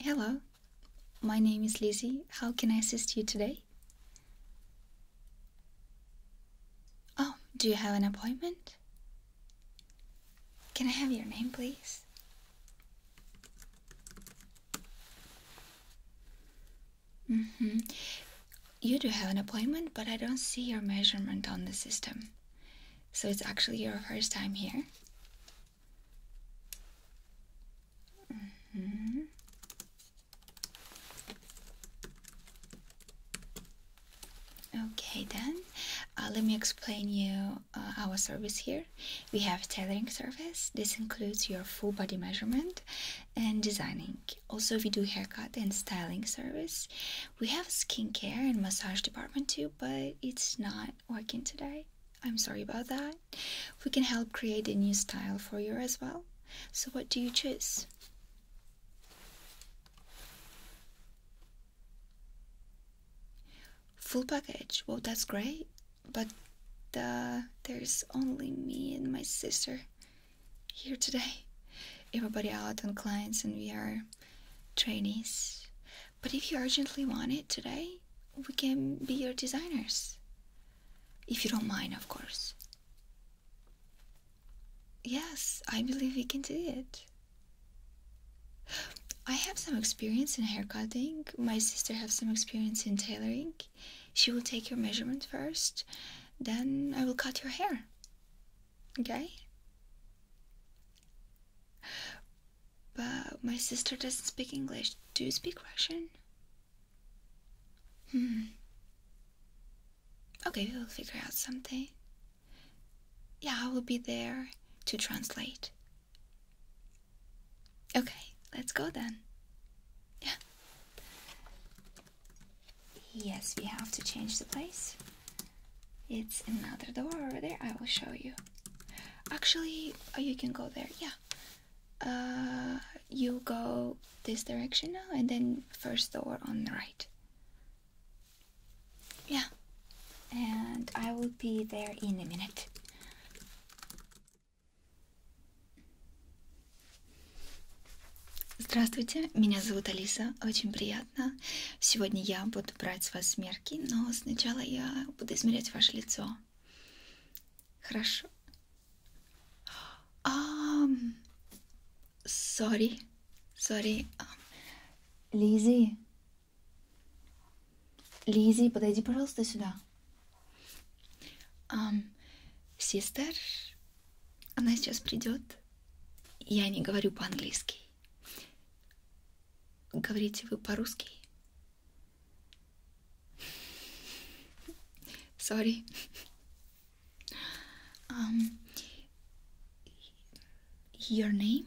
Hello, my name is Lizzie. How can I assist you today? Oh, do you have an appointment? Can I have your name, please? hmm. You do have an appointment, but I don't see your measurement on the system. So it's actually your first time here. hmm. Okay, then uh, let me explain you uh, our service here. We have tailoring service. This includes your full body measurement and designing. Also, we do haircut and styling service. We have skincare and massage department too, but it's not working today. I'm sorry about that. We can help create a new style for you as well. So, what do you choose? Full package. Well, that's great, but uh, there's only me and my sister here today. Everybody out on clients, and we are trainees. But if you urgently want it today, we can be your designers. If you don't mind, of course. Yes, I believe we can do it. I have some experience in hair cutting. My sister has some experience in tailoring. She will take your measurements first, then I will cut your hair. Okay? But my sister doesn't speak English. Do you speak Russian? Hmm. Okay, we will figure out something. Yeah, I will be there to translate. Okay, let's go then. Yeah. Yes, we have to change the place. It's another door over there. I will show you. Actually, oh, you can go there. Yeah. Uh, you go this direction now, and then first door on the right. Yeah, and I will be there in a minute. Здравствуйте, меня зовут Алиса, очень приятно. Сегодня я буду брать с вас мерки, но сначала я буду измерять ваше лицо. Хорошо. Um, sorry, sorry. Um, Лизи, Лизи, подойди, пожалуйста, сюда. Систер, um, она сейчас придет. Я не говорю по-английски. Говорите вы по-русски? Sorry. Um, Your name?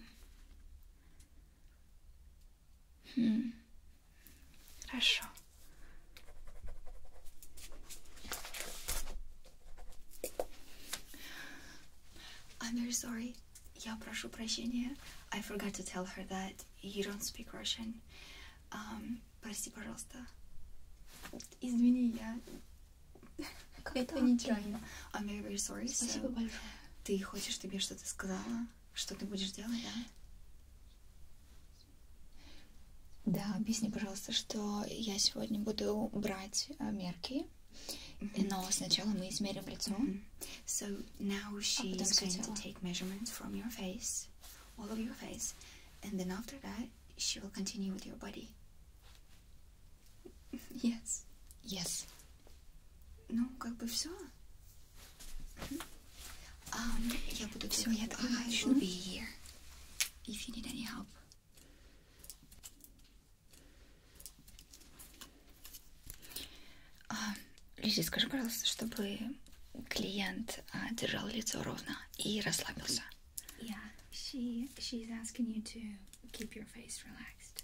Хм. Hmm. Хорошо. I'm very sorry. Я прошу прощения. I forgot to tell her that you don't speak Russian. Um, прости, пожалуйста. Извини, я Как Это так? нечаянно. I'm very, very sorry. Спасибо so... большое. Ты хочешь, чтобы я что-то сказала? Что ты будешь делать, да? Да, объясни, пожалуйста, что я сегодня буду брать э, мерки. Но сначала мы измерим лицо. Mm -hmm. So now а she is going to take measurements from your face, all of your face, and then after that she will continue with your body. Yes. Yes. Ну, как бы все. Um, я буду все, я так начну. Be here. If you need any help. Uh, Лизи, скажи, пожалуйста, чтобы клиент uh, держал лицо ровно и расслабился. Yeah, she she's asking you to keep your face relaxed.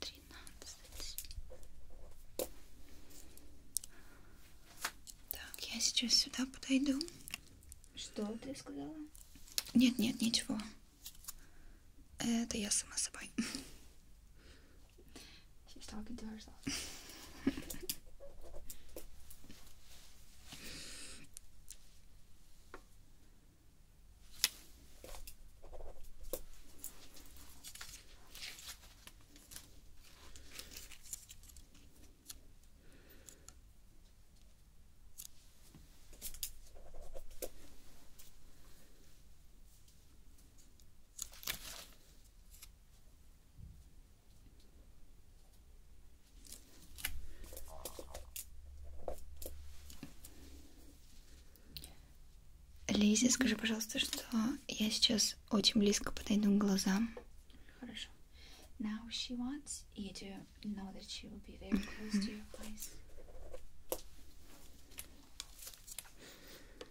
Тринадцать. Так, я сейчас сюда подойду. Что ты сказала? Нет, нет, ничего. Это я сама собой. She's talking to herself. Лиза, скажи, пожалуйста, что я сейчас очень близко подойду к глазам. Хорошо. Now she wants you to know that she will be very close to your eyes.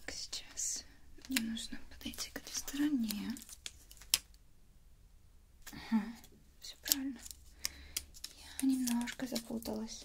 Так, сейчас мне нужно подойти к этой стороне. Ага, все правильно. Я немножко запуталась.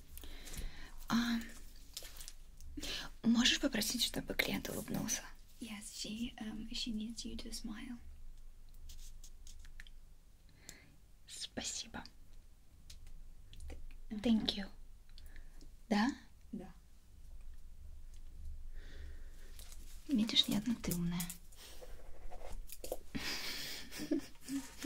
Um, можешь попросить, чтобы клиент улыбнулся? Yes, she, um, she needs you to smile. Спасибо. Thank uh-huh. you. Да? Да. Видишь, я одна ты умная.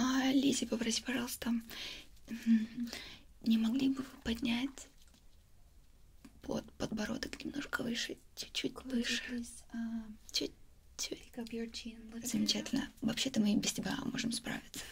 А, Лизе, попроси, пожалуйста, не могли бы вы поднять под, подбородок немножко выше, чуть-чуть выше. А, чуть-чуть. Замечательно. Вообще-то мы и без тебя можем справиться.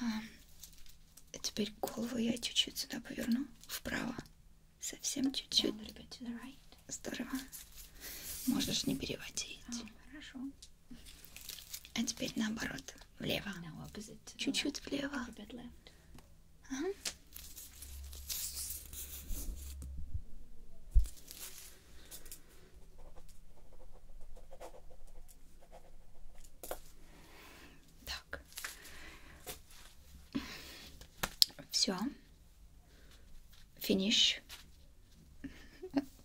А теперь голову я чуть-чуть сюда поверну, вправо. Совсем чуть-чуть. Right. Здорово. Можешь не переводить. Oh, хорошо. А теперь наоборот, влево. Чуть-чуть влево. Ага. Так. Все. Финиш.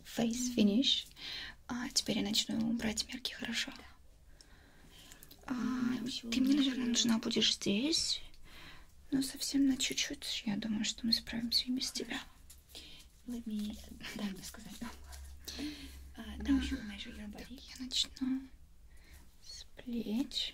Фейс финиш. А теперь я начну брать мерки, хорошо? Да. А, ты мне, наверное, нужна будешь здесь. Но совсем на чуть-чуть. Я думаю, что мы справимся и без тебя. Let me... Дай мне сказать. Uh, now you measure your body. Так, я начну с плеч.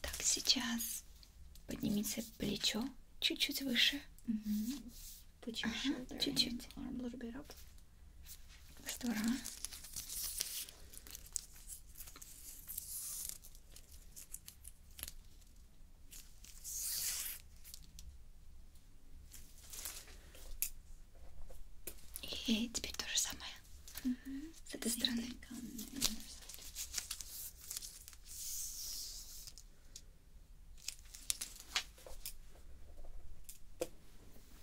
Так, сейчас поднимите плечо чуть-чуть выше. Чуть-чуть. Mm -hmm. Штора. И теперь то же самое. Угу. С этой стороны.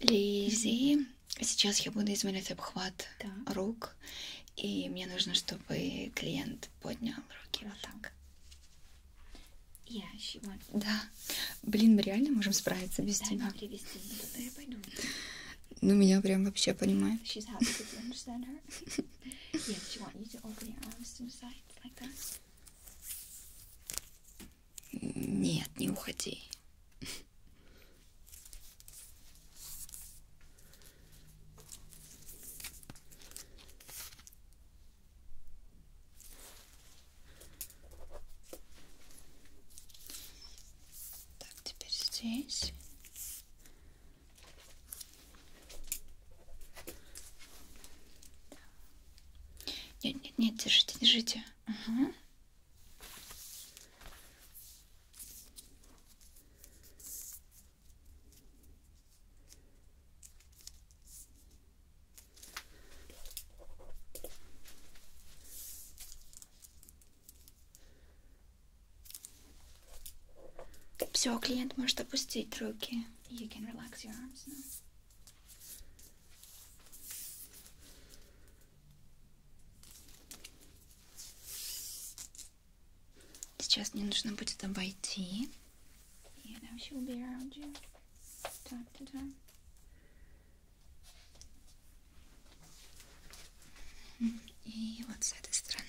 Лизи. Сейчас я буду измерять обхват да. рук, и мне нужно, чтобы клиент поднял руки Хорошо. вот так. Я щипаю. Да. Блин, мы реально можем справиться без да, тебя. Привести. Да, я пойду. Ну, меня прям вообще понимает. She's happy that you understand her. yeah, she want you to open your arms to the sides like that. Нет, не уходи. Так, теперь здесь. Нет, нет, нет, держите, держите. Ага. Все, клиент может опустить руки. You can relax your arms now. Сейчас мне нужно будет обойти. И вот с этой стороны.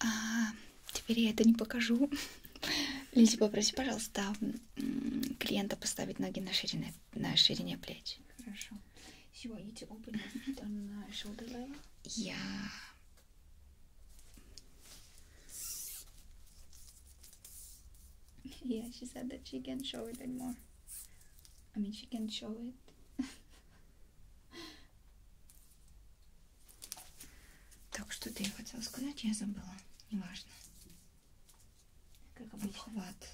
А, теперь я это не покажу. Лизи, попроси, пожалуйста, клиента поставить ноги на ширине, на ширине плеч. Хорошо. Сегодня open on shoulder level. Я... Yeah, she said that she can show it and more. I mean, she can show it. так, что-то я хотела сказать, я забыла. Неважно. Как обычно. Обхват.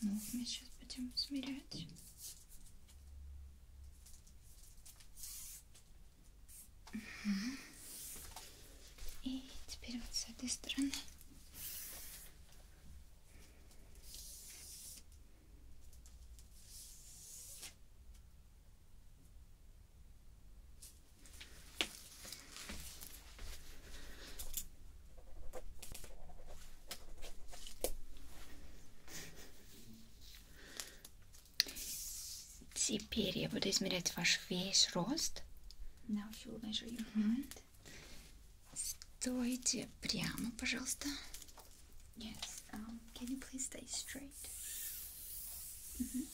Ну, мы сейчас будем смирять. Угу. И теперь вот с этой стороны. Теперь я буду измерять ваш весь рост. Now she will measure your height. Стойте прямо, пожалуйста. Yes. Um, can you please stay straight? Mm -hmm.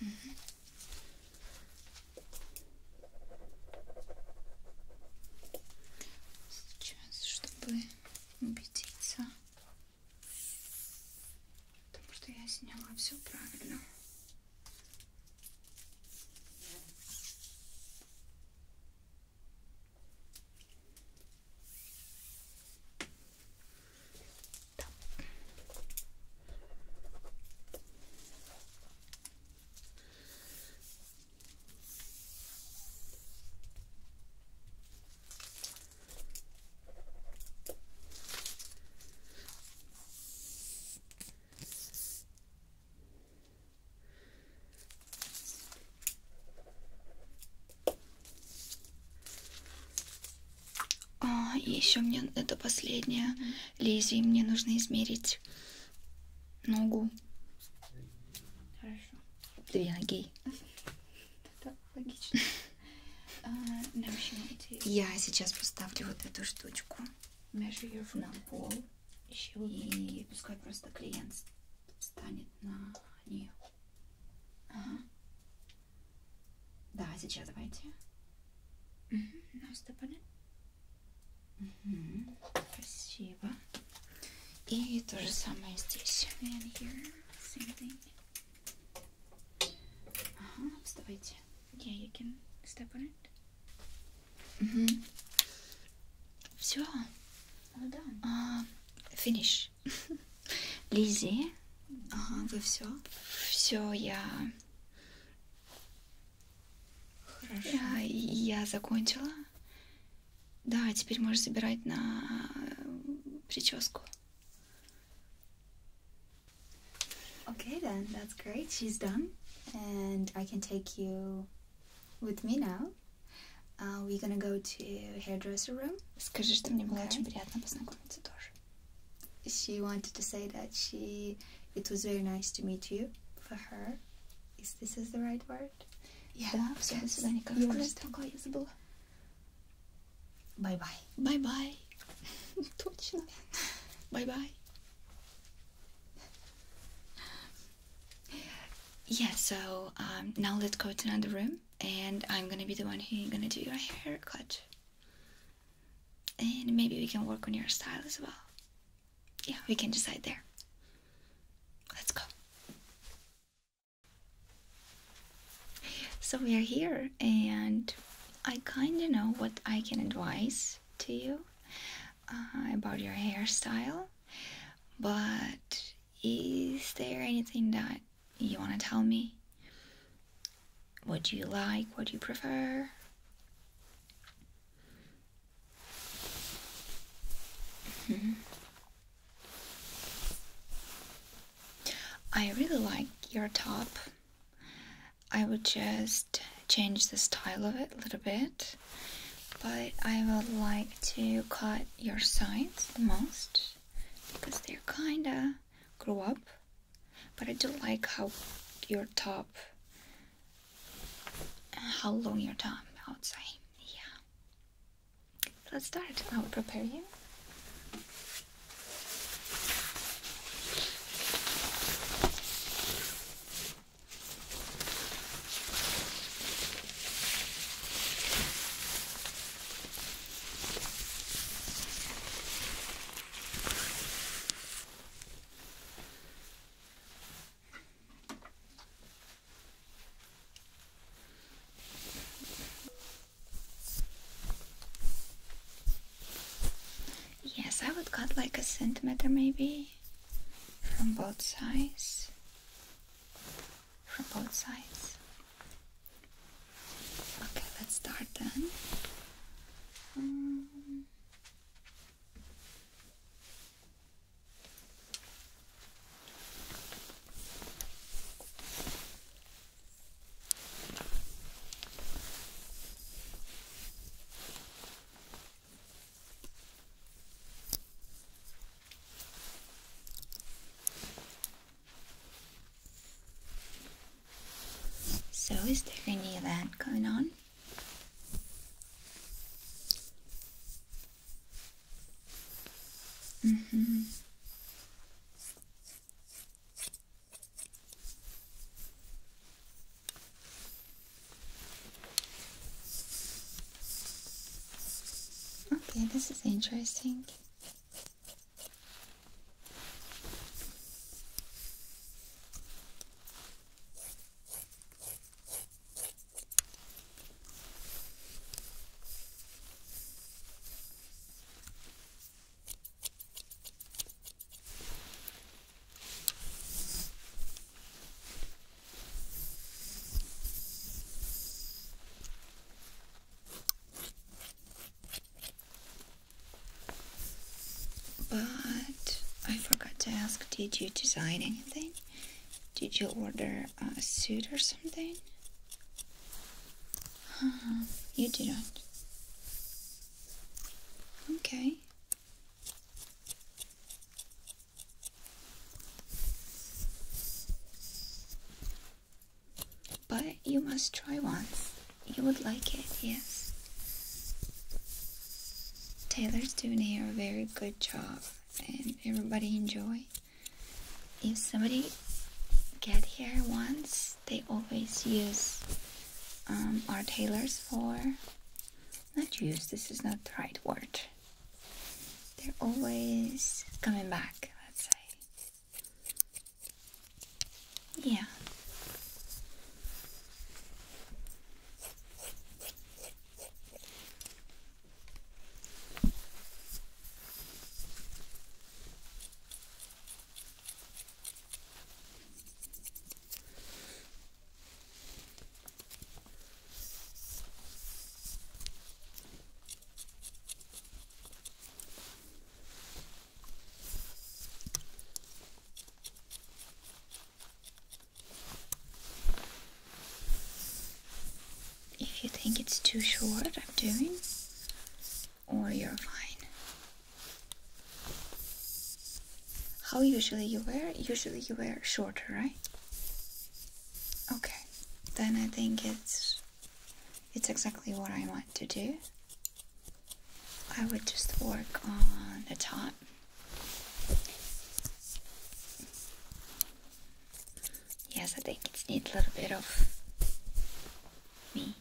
Mm -hmm. Сейчас, чтобы убедиться, Потому что я сняла все правильно. Так. А, и еще мне это последнее лезвие, мне нужно измерить ногу. Хорошо. Две ноги это логично. А, Я сейчас поставлю вот эту штучку на пол. И пускай просто клиент встанет на нее. Ага. Да, сейчас давайте. Наступали. Угу. Спасибо. И то же самое здесь. And here, same thing. Uh-huh, вставайте. Yeah, you can step on it. Mm -hmm. Все. All done. Uh, finish. Лизи. Ага, вы все? Все, я... Хорошо. Я, я закончила. Да, теперь можешь забирать на э, прическу. Okay, then, that's great. She's done. And I can take you with me now. Uh, we're gonna go to hairdresser room. Скажи, что мне было She wanted to say that it was very nice to meet you. For her, is this is the right word? Yeah. Да, все, до свидания, Bye bye. Bye Бай-бай. Точно. Bye bye. Yeah, so um, now let's go to another room and I'm gonna be the one who's gonna do your haircut. And maybe we can work on your style as well. Yeah, we can decide there. Let's go. So we are here, and I kind of know what I can advise to you uh, about your hairstyle. But is there anything that you want to tell me? What do you like? What do you prefer? Mm-hmm. I really like your top. I would just change the style of it a little bit, but I would like to cut your sides the most because they're kinda grew up. But I do like how your top, how long your top outside, yeah. Let's start. I will prepare you. Yes, I would cut like a centimeter maybe from both sides. From both sides. Okay, let's start then. Um, so, is there any of that going on? hmm. Okay, this is interesting. But I forgot to ask, did you design anything? Did you order a suit or something? You didn't. Okay. But you must try once. You would like it, yes. Taylor's doing here a very good job and everybody enjoy. If somebody get here once they always use um, our tailors for not use this is not the right word they're always coming back let's say yeah if you think it's too short, I'm doing or you're fine. How usually you wear? Usually you wear shorter, right? Okay, then I think it's it's exactly what I want to do. I would just work on the top. Yes, I think it needs a little bit of me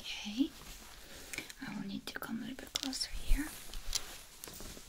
Okay, I will need to come a little bit closer here.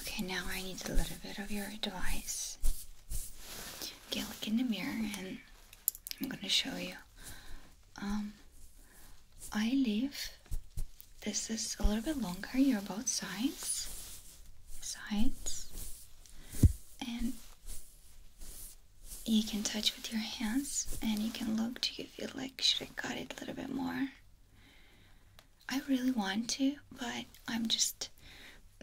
Okay, now I need a little bit of your advice. Okay, look in the mirror and I'm gonna show you. Um, I leave. This is a little bit longer. You're both sides, sides, and you can touch with your hands, and you can look to you feel like should I cut it a little bit more. I really want to, but I'm just.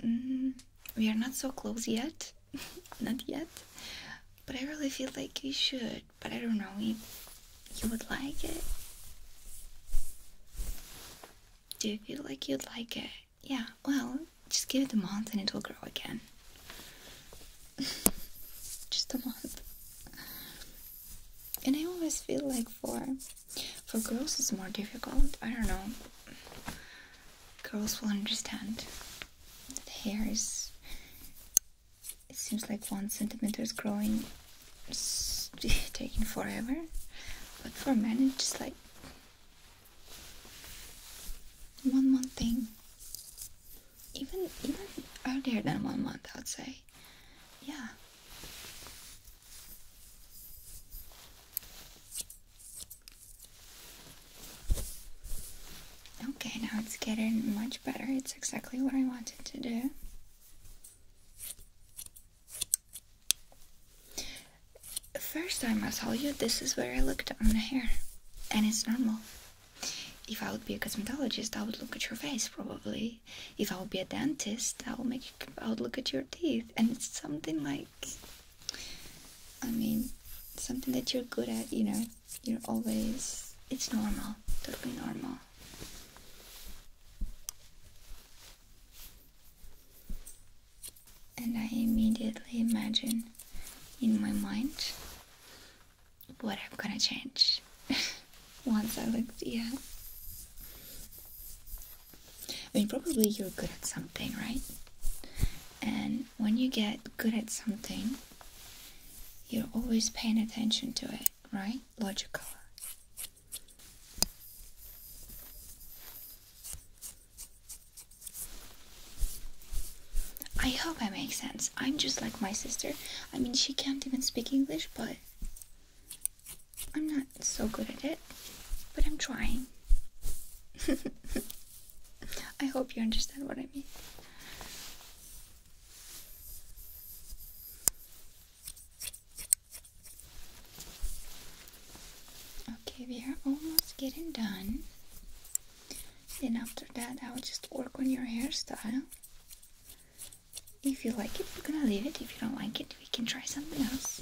Mm, we are not so close yet, not yet. But I really feel like you should but I don't know if you would like it. Do you feel like you'd like it? Yeah, well, just give it a month and it will grow again. just a month. And I always feel like for for girls it's more difficult. I don't know. Girls will understand the hairs. It seems like one centimeter is growing, taking forever. But for men, it's just like one month thing. Even even earlier than one month, I'd say. Yeah. Okay, now it's getting much better. It's exactly what I wanted to do. First, I must tell you this is where I looked on the hair, and it's normal. If I would be a cosmetologist, I would look at your face probably. If I would be a dentist, I would make I would look at your teeth, and it's something like, I mean, something that you're good at. You know, you're always. It's normal, totally normal. And I immediately imagine in my mind what I'm gonna change once I look at yeah. I mean probably you're good at something, right? And when you get good at something, you're always paying attention to it right? Logical. I hope I make sense. I'm just like my sister. I mean, she can't even speak English, but I'm not so good at it. But I'm trying. I hope you understand what I mean. Okay, we are almost getting done. And after that, I'll just work on your hairstyle. If you like it, we're gonna leave it. If you don't like it, we can try something else.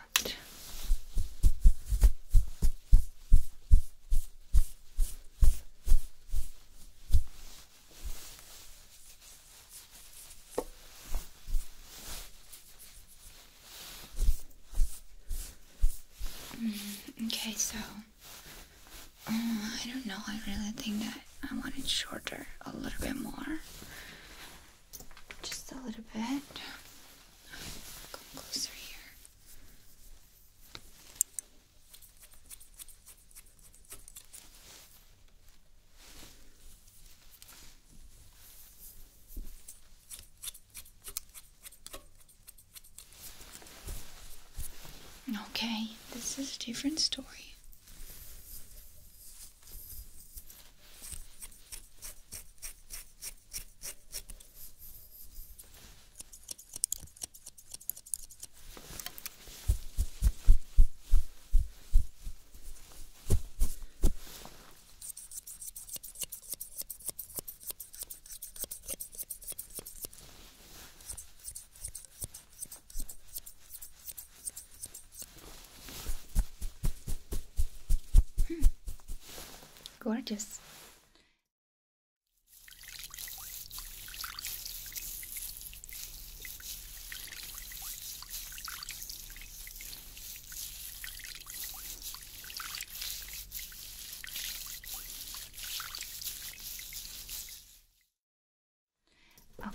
Mm, okay, so uh, I don't know. I really think that I want it shorter, a little bit more, just a little bit. Come closer here. Okay, this is a different story. Hmm. Gorgeous.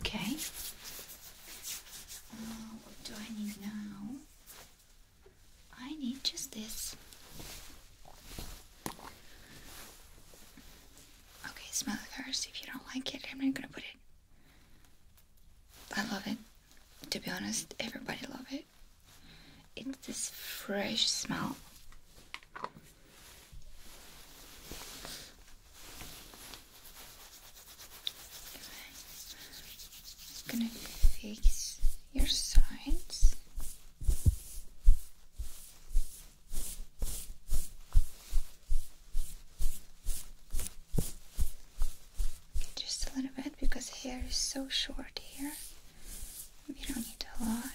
Okay. Uh, what do I need now? I need just this. Okay, smell it first. If you don't like it, I'm not gonna put it. I love it. To be honest, everybody love it. It's this fresh smell i gonna fix your sides. Just a little bit because hair is so short here. We don't need a lot.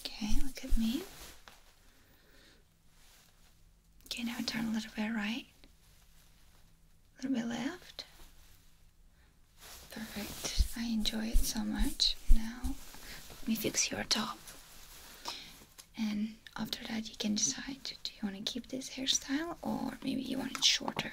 Okay, look at me. Okay, now turn a little bit right, a little bit left. Perfect. I enjoy it so much. Now, let me fix your top. And after that, you can decide do you want to keep this hairstyle or maybe you want it shorter?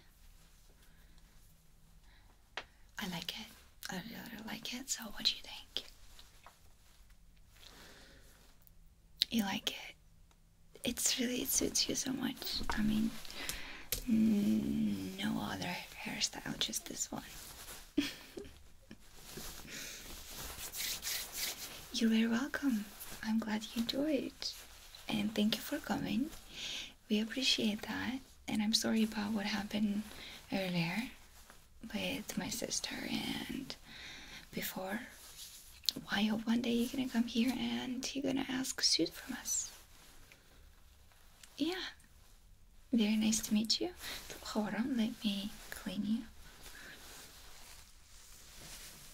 I like it. I really like it. So, what do you think? You like it? It's really it suits you so much. I mean, no other hairstyle, just this one. you are very welcome. I'm glad you enjoyed and thank you for coming. We appreciate that, and I'm sorry about what happened earlier with my sister and before. Well, I hope one day you're gonna come here and you're gonna ask suit from us. Yeah. Very nice to meet you. let me clean you.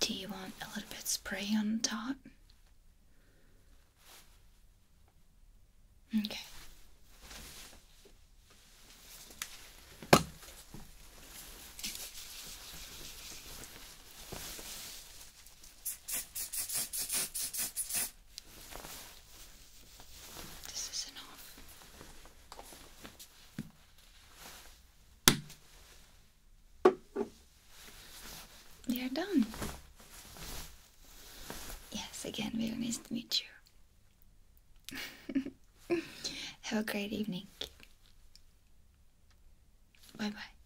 Do you want a little bit spray on top? Okay. This They are done. Yes, again, we very nice to meet you. Have a great evening. Bye bye.